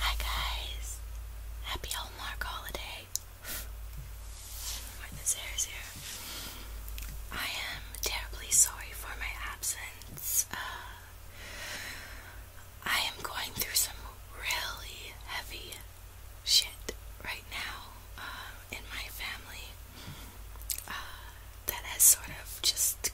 Hi guys! Happy Hallmark holiday! Where this here. I am terribly sorry for my absence. Uh, I am going through some really heavy shit right now uh, in my family uh, that has sort of just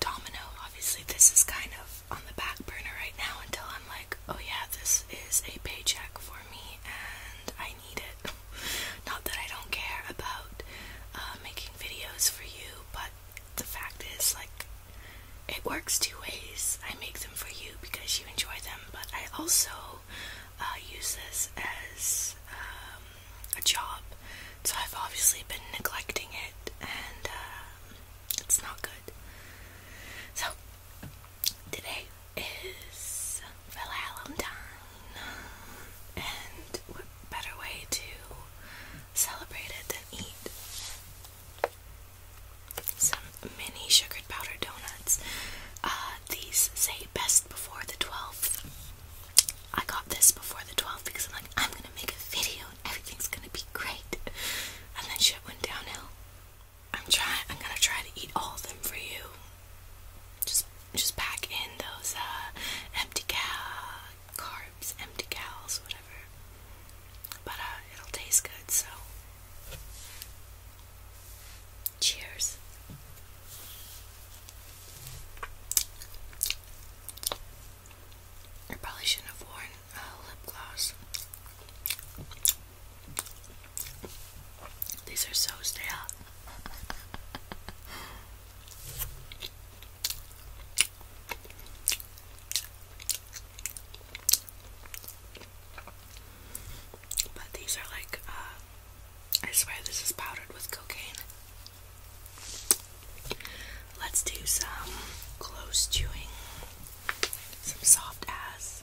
Domino, obviously, this is kind of on the back burner right now until I'm like, oh yeah, this is a paycheck for me and I need it. Not that I don't care about uh, making videos for you, but the fact is, like, it works two ways. I make them for you because you enjoy them, but I also uh, use this as um, a job, so I've obviously been neglecting it, and uh, it's not good. So today is Valentine, and what better way to celebrate it than eat some mini sugar powder donuts? Uh, these say best before the twelfth. I got this before the 12th because I'm like, I'm gonna make a video and everything's gonna be great. And then shit went downhill. I'm trying I'm gonna try to eat all of them for you. Just just pack in those uh empty cal carbs, empty cals, whatever. But uh it'll taste good, so cheers. I probably shouldn't have worn lip gloss. These are so stale. But these are like, uh, I swear this is powdered with cocaine. Let's do some close chewing, some soft ass.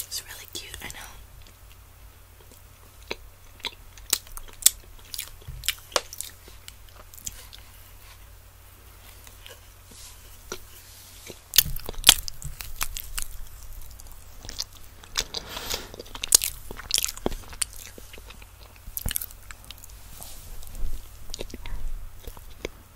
It's really cute, I know.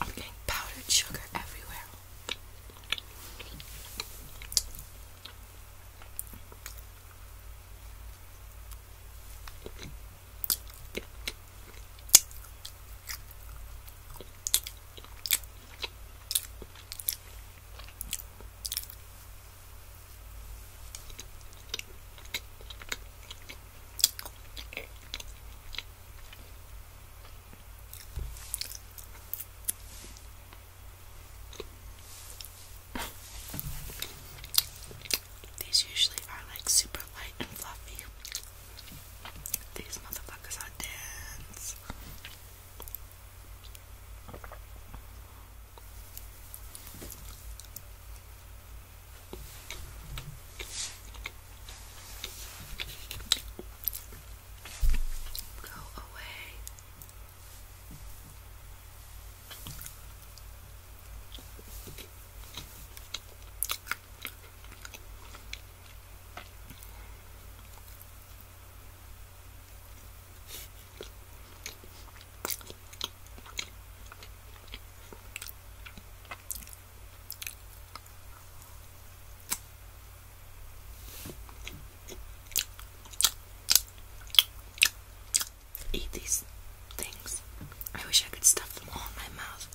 I'm getting powdered sugar everywhere. These usually are like super light and fluffy. These motherfuckers are dense. Go away. Eat these things. I wish I could stuff them all in my mouth.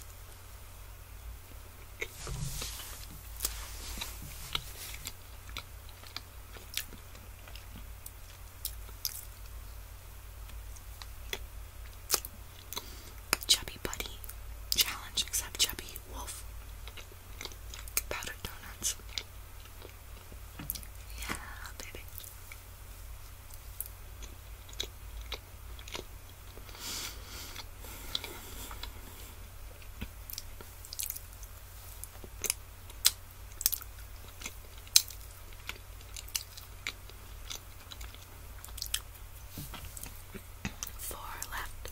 Chubby Buddy Challenge, except Chubby Wolf Powdered Donuts. Yeah, baby. Four left.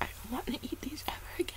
I don't want to eat these ever again.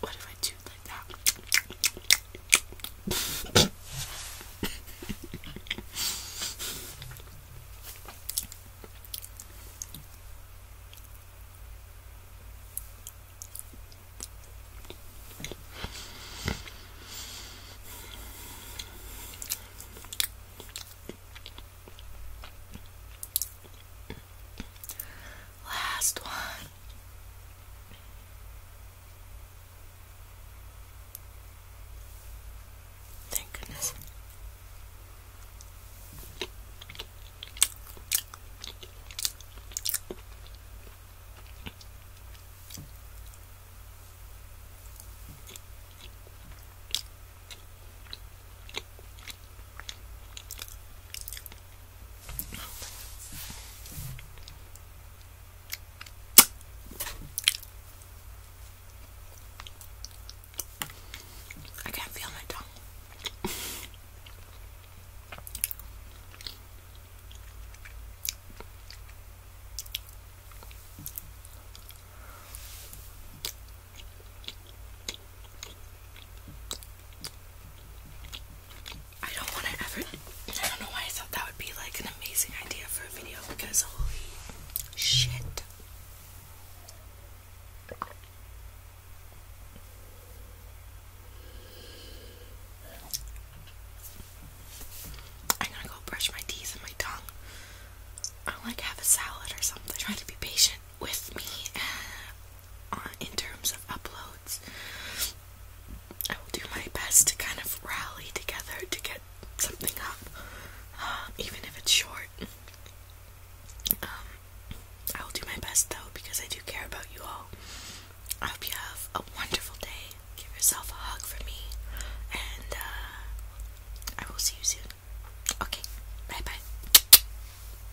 What if I do like that? Last one. Thank goodness. I can't feel my tongue. I don't want to ever. I don't know why I thought that would be like an amazing idea for a video because holy shit. I'm gonna go brush my teeth and my tongue. I'll like have a salad or something. Try to be patient with me uh, in terms of uploads. I will do my best to kind of rally together to get something up, um, even if it's short. Um, I will do my best though because I do care about you all. I hope you have a wonderful day. Give yourself a hug for me, and uh, I will see you soon. Okay, bye bye.